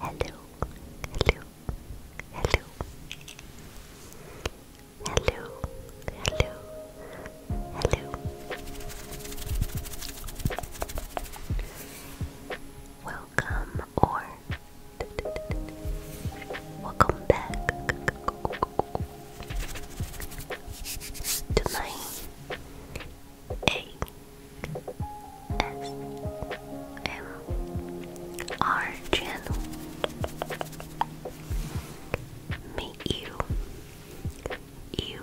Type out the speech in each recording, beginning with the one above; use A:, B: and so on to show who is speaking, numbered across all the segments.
A: Hello, hello, hello, hello, hello, hello. Welcome or welcome back to my A S M R channel. Meet you, you,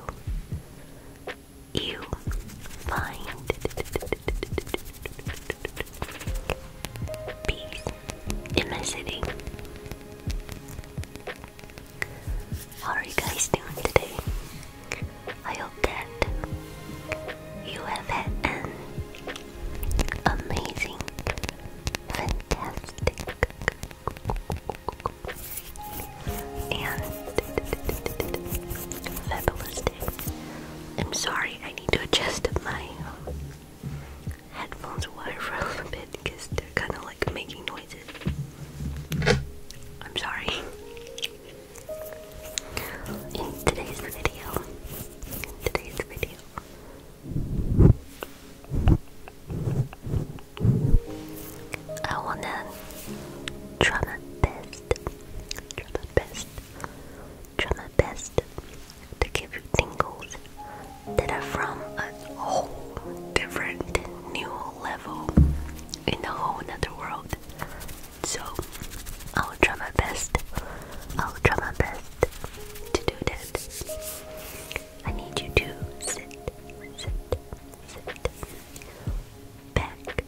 A: you find peace in my city. How are you guys doing today? I hope that you have had an amazing, fantastic, and fabulous day. I'm sorry, I need to adjust my headphones wire for a little bit because they're kind of like making noises. I'm sorry in today's video. In today's video. I wanna try my best, to give you tingles that are from a whole different new level in a whole other world. So I'll try my best. I'll try my best to do that. I need you to sit, sit, sit back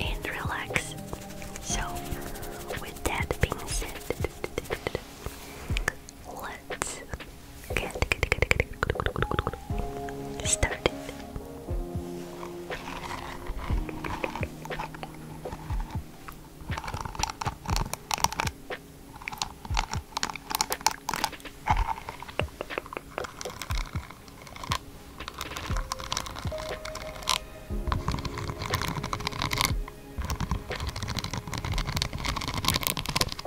A: and relax. So, with that being said, let's Get, get, get, get, get started.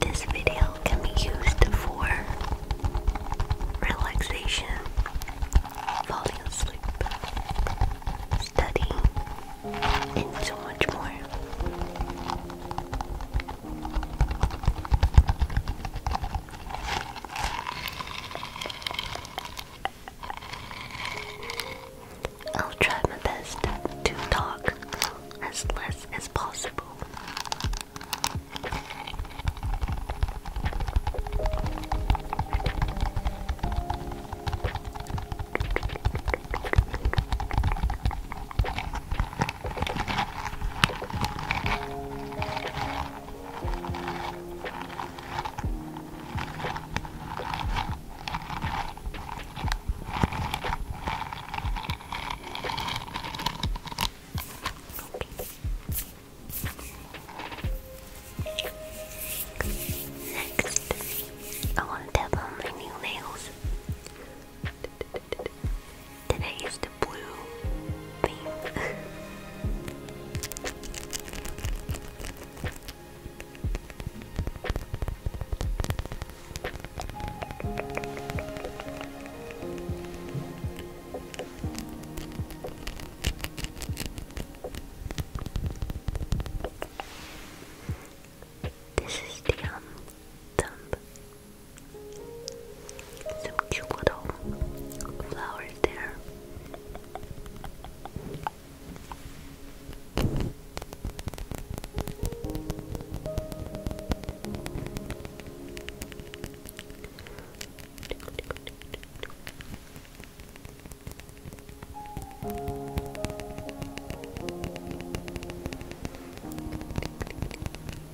A: This video can be used for relaxation, falling asleep, studying, and so much more. I'll try my best to talk as less as possible. Next, I want to tap on my new nails. Today is the blue theme. This is the um some cute little flowers there.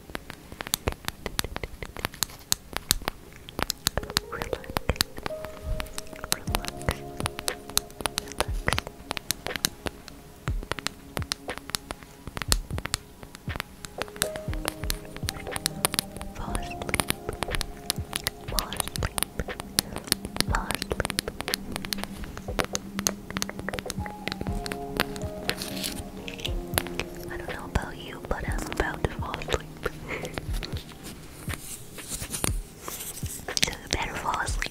A: Relax. Relax. Relax. Fall asleep. Fall asleep. Fall asleep. I don't know about you, but I'm about to fall asleep. so better fall asleep.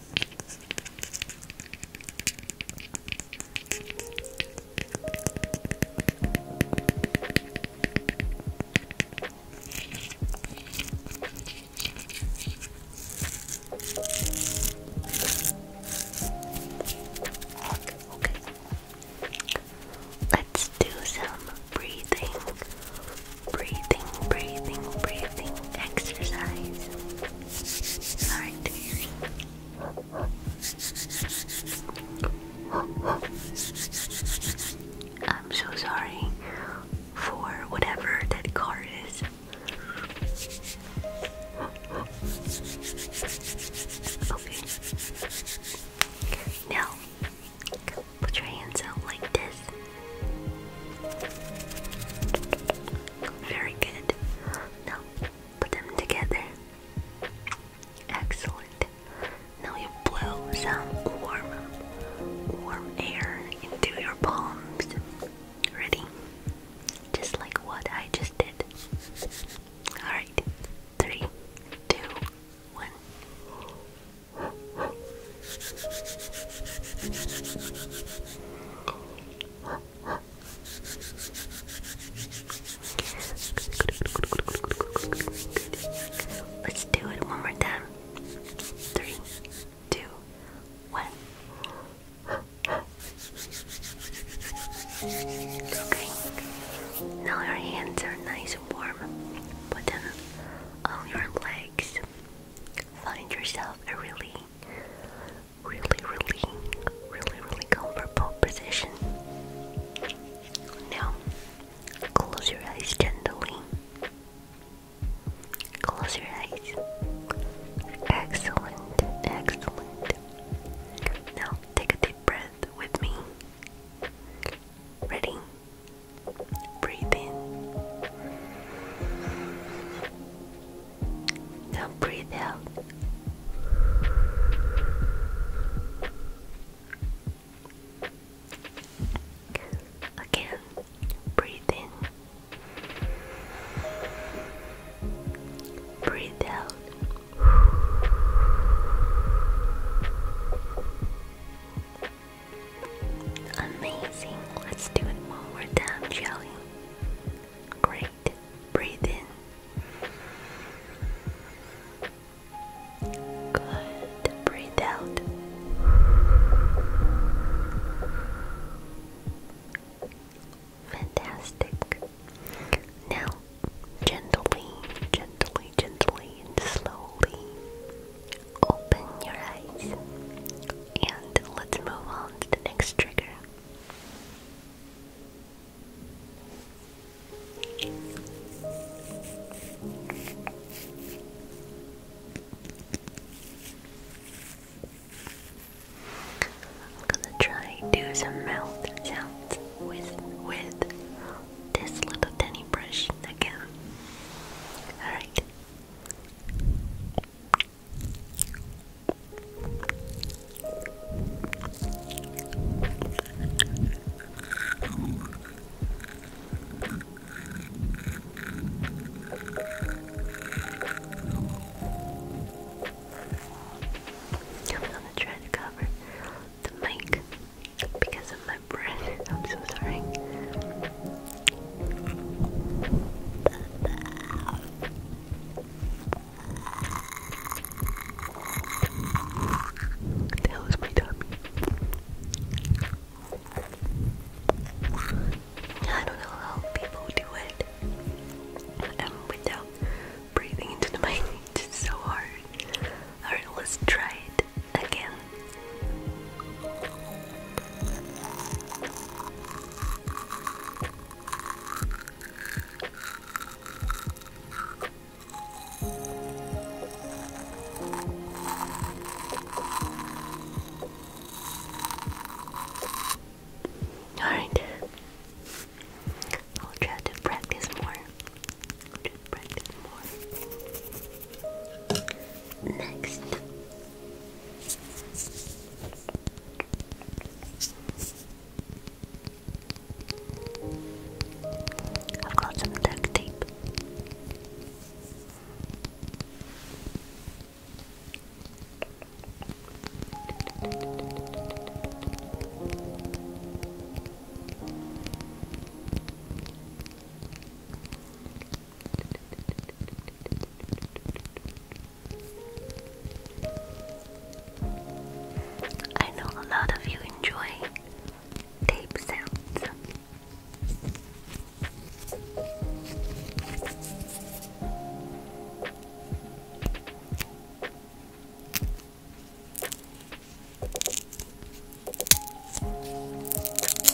A: Let's do some breathing, breathing, breathing, breathing exercise. I'm so sorry for whatever that car is. Now, put your hands out like this. Very good. Now put them together. Excellent. Now you blow some warm, warm air into your palms. Ready?
B: Just like what I just did. Alright. Three, two, one. Let's
A: do it one more time. Three, two, one. Okay. Now your hands are nice and warm. Put them on your legs. Find yourself a really really, really, really, really comfortable position. Now, close your eyes gently. Close your eyes. Excellent, excellent. Now, take a deep breath with me. Ready? Breathe in. Now breathe out. Again, breathe in. Breathe out. Amazing. Let's do it one more time, shall Great. Breathe in. Good. Breathe out. Fantastic. Now, gently, gently, gently, and slowly open your eyes. And let's move on to the next trigger. I'm gonna try do some mouth sounds with with this little tiny brush again. Alright. I'm gonna try to cover the mic because of my breath. I'm so sorry. What the my tummy? I don't know how people do it. And without breathing into the mic, so hard. Alright, let's try it again. Alright, I'll try to practice more. Try practice more. Next. I've got some duct tape. I know a lot of you enjoy tape sounds.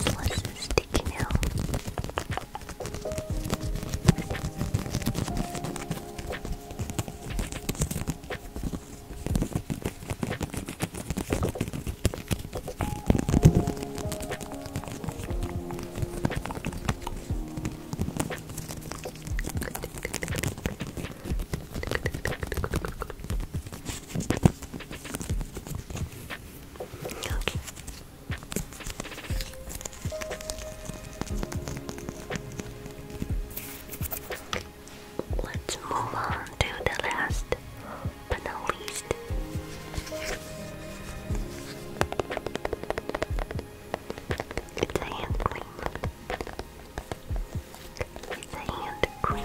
A: What's this sticky nail? Let's move on to the last but not least. It's a hand cream. It's a hand cream.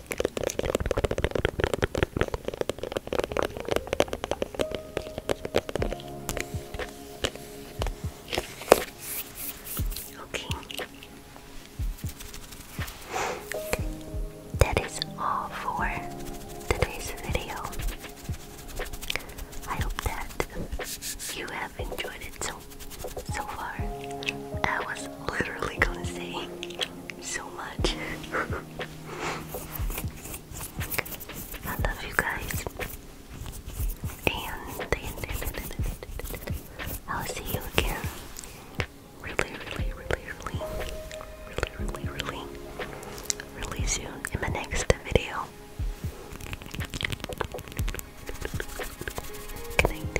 A: Okay. That is all for today's video. I hope that you have enjoyed it so so far. I was literally gonna say so much. I love you guys. And I'll see you again really, really, really, really, really, really, really, soon in my next video. Good night.